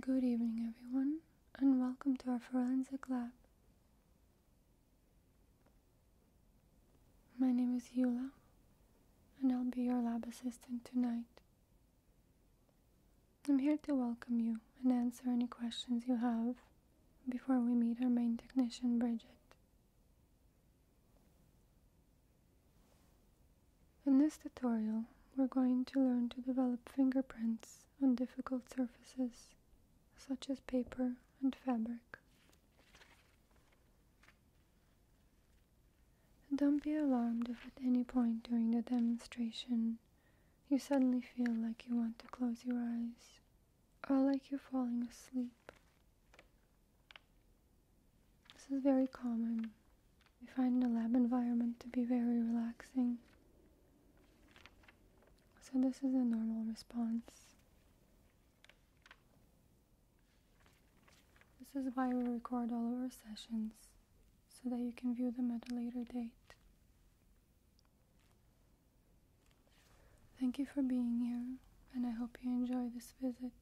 Good evening, everyone, and welcome to our forensic lab. My name is Yula and I'll be your lab assistant tonight. I'm here to welcome you and answer any questions you have before we meet our main technician, Bridget. In this tutorial, we're going to learn to develop fingerprints on difficult surfaces, such as paper and fabric. Don't be alarmed if at any point during the demonstration you suddenly feel like you want to close your eyes or like you're falling asleep. This is very common. We find the lab environment to be very relaxing. So this is a normal response. This is why we record all of our sessions, so that you can view them at a later date. Thank you for being here, and I hope you enjoy this visit.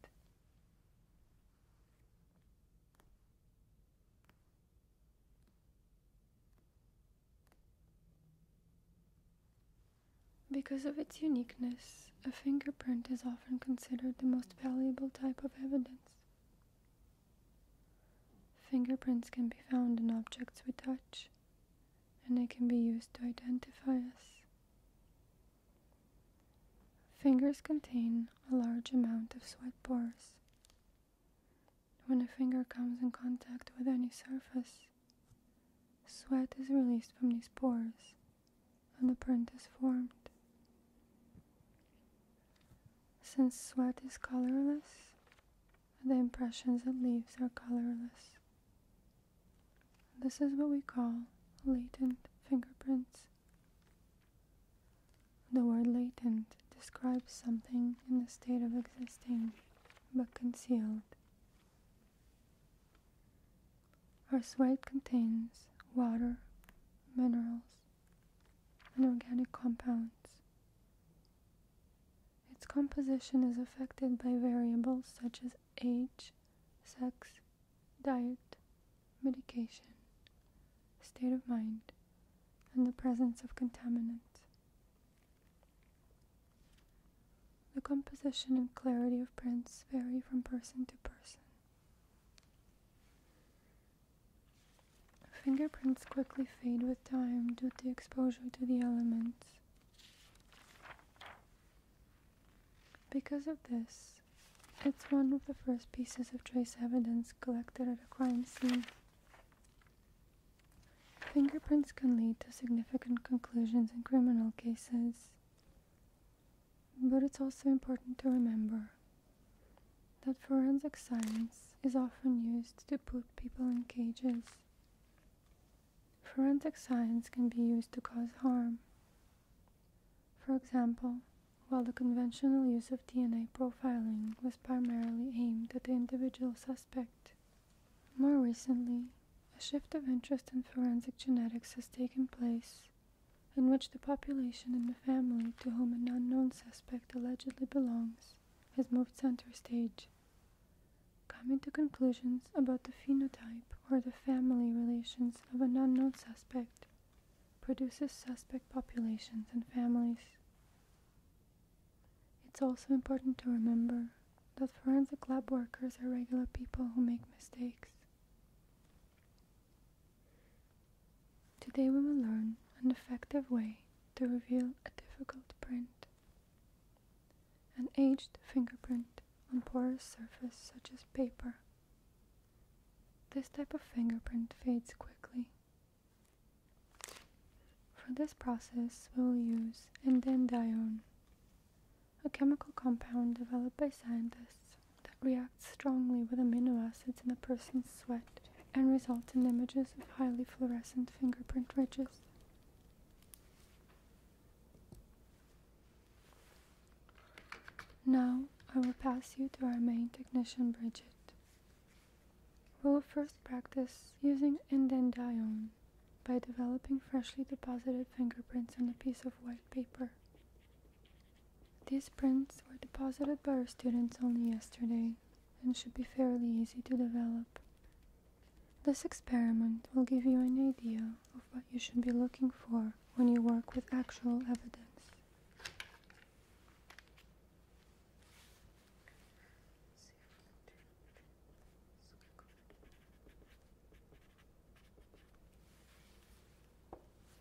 Because of its uniqueness, a fingerprint is often considered the most valuable type of evidence. Fingerprints can be found in objects we touch, and they can be used to identify us. Fingers contain a large amount of sweat pores. When a finger comes in contact with any surface, sweat is released from these pores an is formed. Since sweat is colorless, the impressions it leaves are colorless. This is what we call latent fingerprints. The word latent describes something in a state of existing but concealed. Our sweat contains water, minerals, and organic compounds. Its composition is affected by variables such as age, sex, diet, medication, state of mind, and the presence of contaminants. The composition and clarity of prints vary from person to person. Fingerprints quickly fade with time due to exposure to the elements. Because of this, it's one of the first pieces of trace evidence collected at a crime scene. Fingerprints can lead to significant conclusions in criminal cases. But it's also important to remember that forensic science is often used to put people in cages. Forensic science can be used to cause harm. For example, while the conventional use of DNA profiling was primarily aimed at the individual suspect, more recently, a shift of interest in forensic genetics has taken place in which the population and the family to whom an unknown suspect allegedly belongs has moved center stage, coming to conclusions about the phenotype or the family relations of an unknown suspect produces suspect populations and families. It's also important to remember that forensic lab workers are regular people who make mistakes. Today we will learn an effective way to reveal a difficult print. An aged fingerprint on porous surface such as paper. This type of fingerprint fades quickly. For this process we will use endandione, a chemical compound developed by scientists that reacts strongly with amino acids in a person's sweat and results in images of highly fluorescent fingerprint ridges. Now I will pass you to our main technician, Bridget. We will first practice using indendione by developing freshly deposited fingerprints on a piece of white paper. These prints were deposited by our students only yesterday and should be fairly easy to develop. This experiment will give you an idea of what you should be looking for when you work with actual evidence.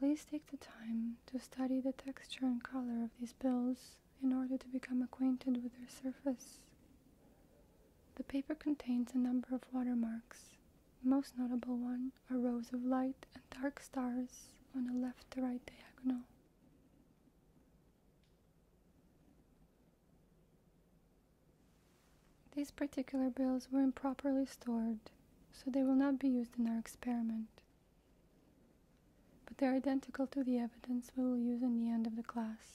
Please take the time to study the texture and color of these bills in order to become acquainted with their surface. The paper contains a number of watermarks. The most notable one are rows of light and dark stars on a left to right diagonal. These particular bills were improperly stored, so they will not be used in our experiment but they're identical to the evidence we will use in the end of the class.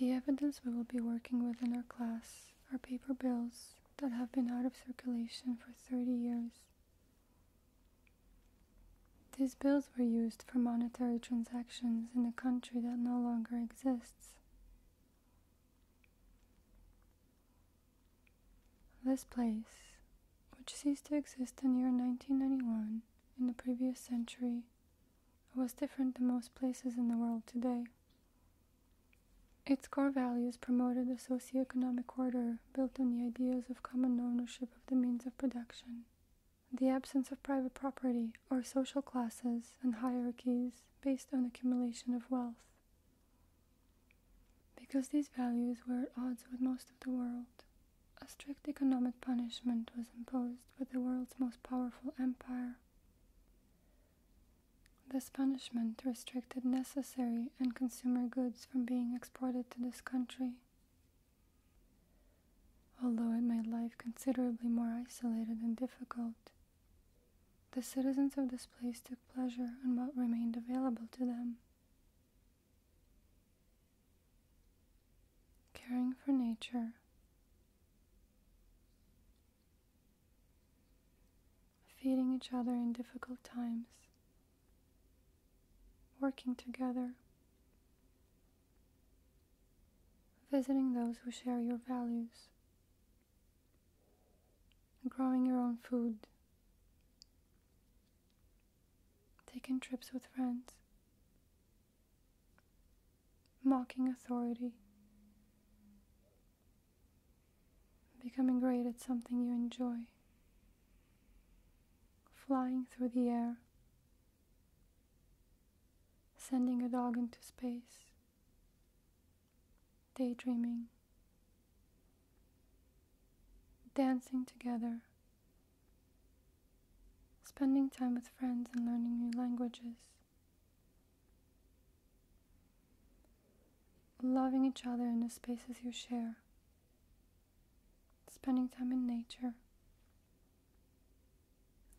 The evidence we will be working with in our class are paper bills that have been out of circulation for 30 years. These bills were used for monetary transactions in a country that no longer exists. This place, which ceased to exist in the year 1991 in the previous century, was different than most places in the world today. Its core values promoted a socioeconomic order built on the ideas of common ownership of the means of production, the absence of private property or social classes and hierarchies based on accumulation of wealth. Because these values were at odds with most of the world, a strict economic punishment was imposed by the world's most powerful empire. This punishment restricted necessary and consumer goods from being exported to this country. Although it made life considerably more isolated and difficult, the citizens of this place took pleasure in what remained available to them. Caring for nature. Feeding each other in difficult times working together, visiting those who share your values, growing your own food, taking trips with friends, mocking authority. Becoming great at something you enjoy flying through the air, sending a dog into space, daydreaming, dancing together, spending time with friends and learning new languages. Loving each other in the spaces you share spending time in nature,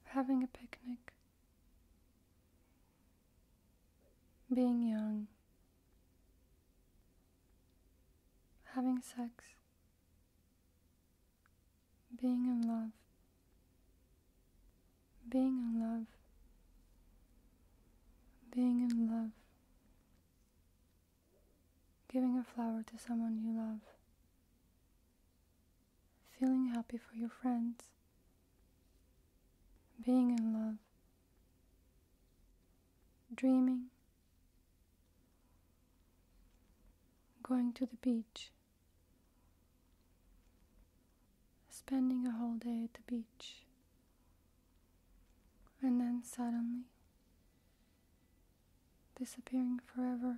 having a picnic, being young, having sex, being in love, being in love, being in love giving a flower to someone you love, feeling happy for your friends, being in love, dreaming, going to the beach, spending a whole day at the beach, and then suddenly disappearing forever.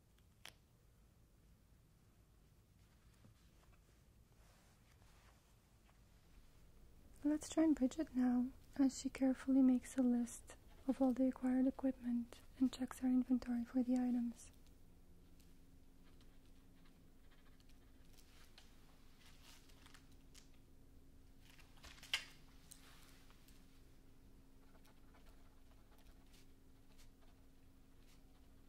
Let's join Bridget now as she carefully makes a list of all the acquired equipment and checks her inventory for the items.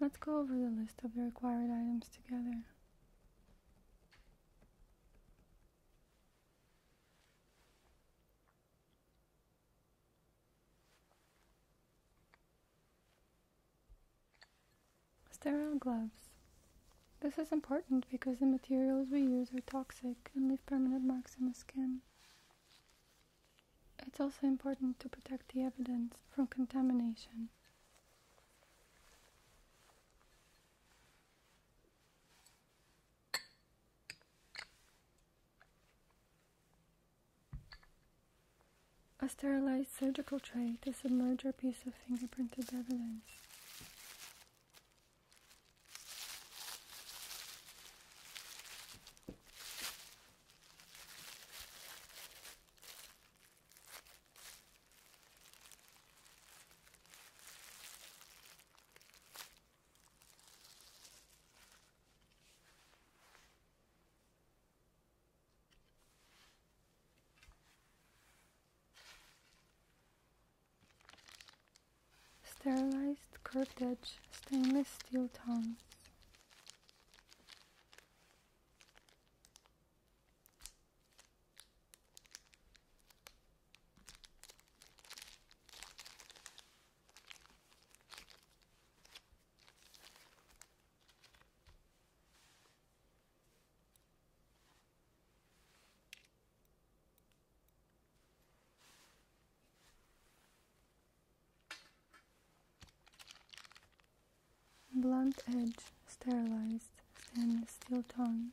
Let's go over the list of the required items together. Sterile gloves. This is important because the materials we use are toxic and leave permanent marks on the skin. It's also important to protect the evidence from contamination. A sterilized surgical tray to submerge our piece of fingerprinted evidence. Sterilized curved edge stainless steel tongs blunt edge sterilized stainless steel tongs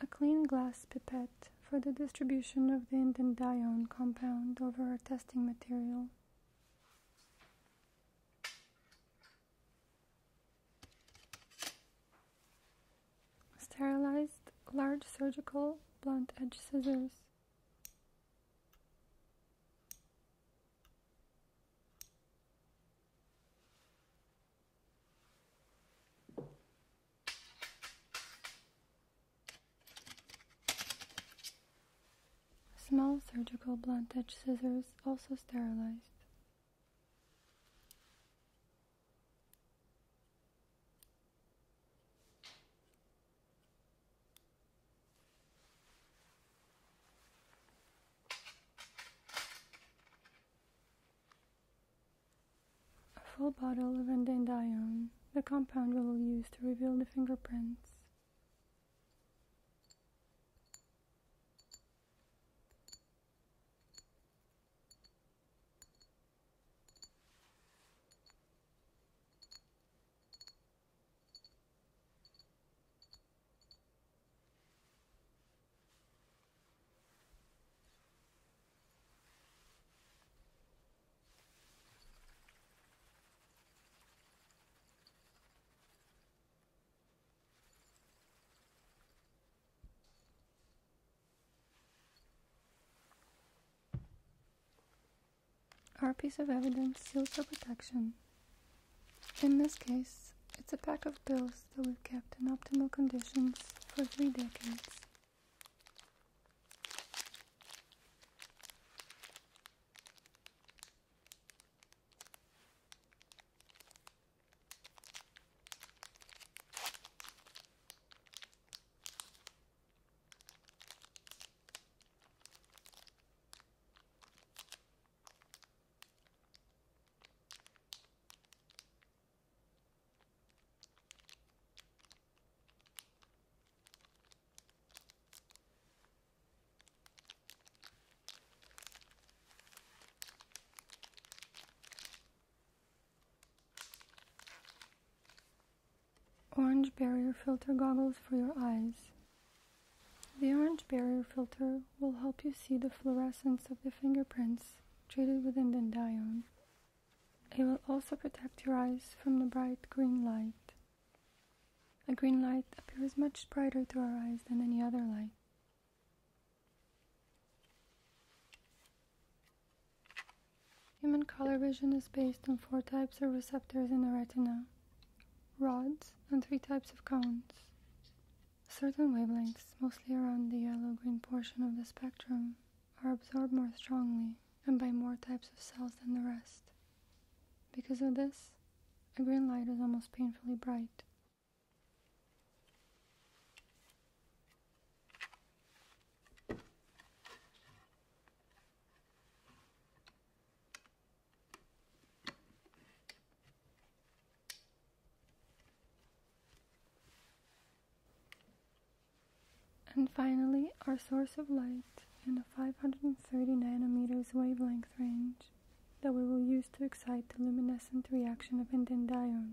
A clean glass pipette for the distribution of the indandione compound over our testing material. Sterilized large surgical blunt edge scissors. Small surgical blunt edge scissors also sterilized. A full bottle of endandione, the compound we will use to reveal the fingerprints. Our piece of evidence seals for protection. In this case, it's a pack of bills that we've kept in optimal conditions for three decades. Orange barrier filter goggles for your eyes. The orange barrier filter will help you see the fluorescence of the fingerprints treated with indendaion. It will also protect your eyes from the bright green light. A green light appears much brighter to our eyes than any other light. Human color vision is based on four types of receptors in the retina rods, and three types of cones. Certain wavelengths, mostly around the yellow-green portion of the spectrum, are absorbed more strongly and by more types of cells than the rest. Because of this, a green light is almost painfully bright. And finally, our source of light in the 530 nanometers wavelength range that we will use to excite the luminescent reaction of indendione.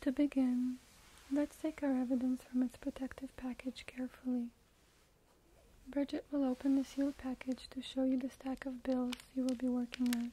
To begin, let's take our evidence from its protective package carefully. Bridget will open the sealed package to show you the stack of bills you will be working on.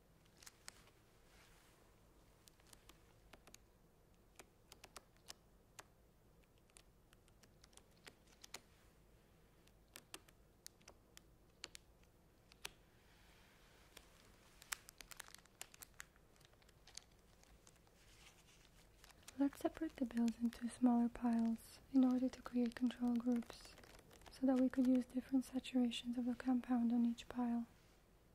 Let's separate the bills into smaller piles in order to create control groups so that we could use different saturations of the compound on each pile.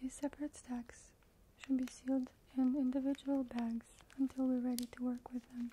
These separate stacks should be sealed in individual bags until we're ready to work with them.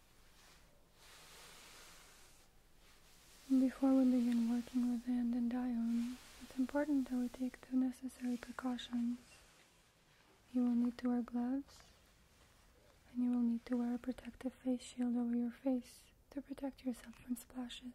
before we begin working with the endandium, it's important that we take the necessary precautions. You will need to wear gloves and you will need to wear a protective face shield over your face to protect yourself from splashes.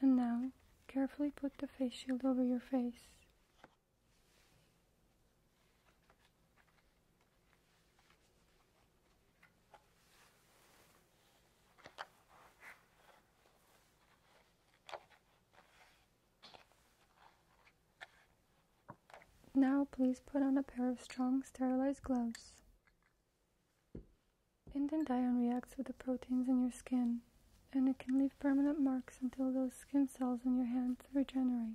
And now, carefully put the face shield over your face. Now please put on a pair of strong sterilized gloves. Indent iron reacts with the proteins in your skin and it can leave permanent marks until those skin cells in your hands regenerate.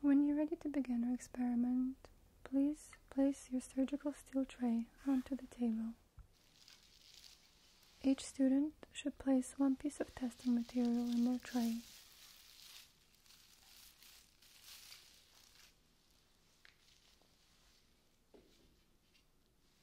When you're ready to begin your experiment, please place your surgical steel tray onto the table. Each student should place one piece of testing material in their tray.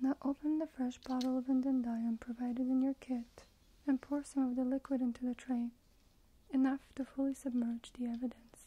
Now open the fresh bottle of indium provided in your kit and pour some of the liquid into the tray, enough to fully submerge the evidence.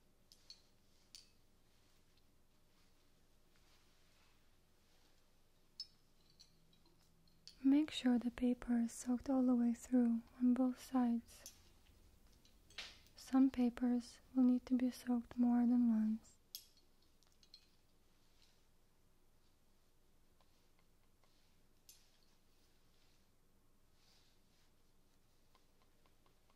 Make sure the paper is soaked all the way through on both sides. Some papers will need to be soaked more than once.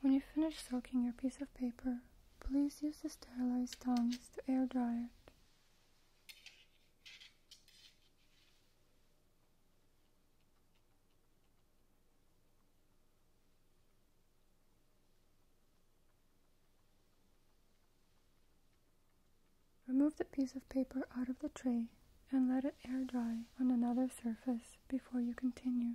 When you finish soaking your piece of paper, please use the sterilized tongs to air dry it. Remove the piece of paper out of the tray and let it air dry on another surface before you continue.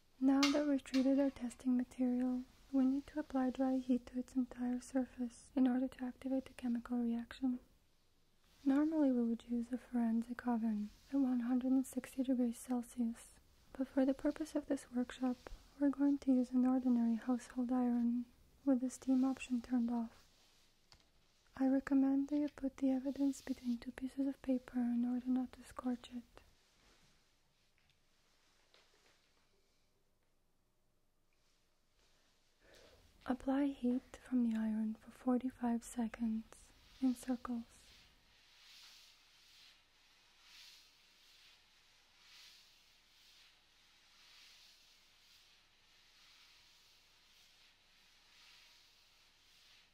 Now that we've treated our testing material, we need to apply dry heat to its entire surface in order to activate the chemical reaction. Normally we would use a forensic oven at 160 degrees Celsius, but for the purpose of this workshop, we're going to use an ordinary household iron with the steam option turned off. I recommend that you put the evidence between two pieces of paper in order not to scorch it. Apply heat from the iron for 45 seconds in circles.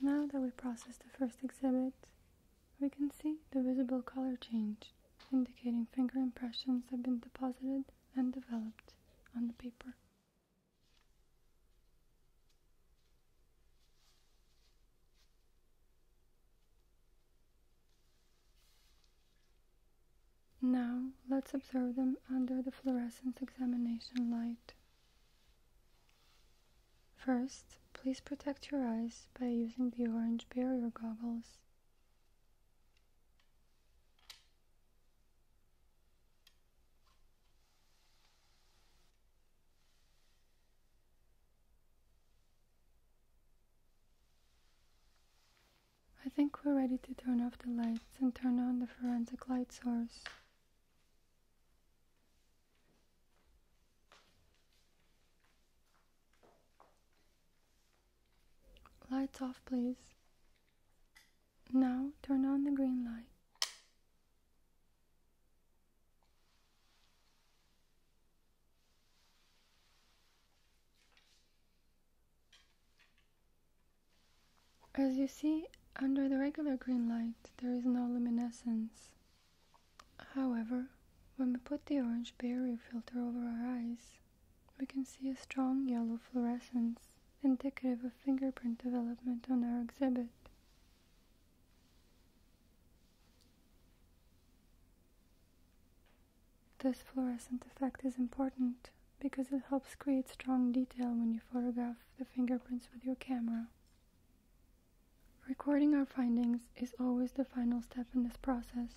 Now that we process the first exhibit, we can see the visible color change, indicating finger impressions have been deposited and developed on the paper. Now let's observe them under the fluorescence examination light. First, please protect your eyes by using the orange barrier goggles. I think we're ready to turn off the lights and turn on the forensic light source. Lights off, please. Now turn on the green light. As you see, under the regular green light, there is no luminescence. However, when we put the orange barrier filter over our eyes, we can see a strong yellow fluorescence, indicative of fingerprint development on our exhibit. This fluorescent effect is important because it helps create strong detail when you photograph the fingerprints with your camera. Recording our findings is always the final step in this process.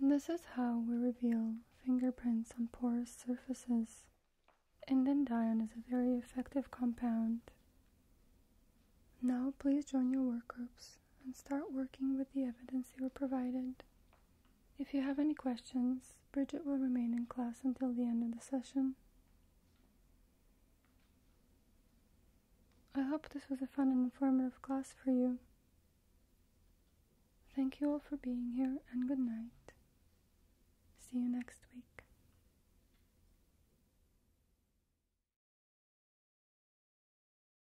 This is how we reveal fingerprints on porous surfaces. Indendione is a very effective compound. Now please join your workgroups and start working with the evidence you were provided. If you have any questions, Bridget will remain in class until the end of the session. I hope this was a fun and informative class for you. Thank you all for being here and good night. See you next week.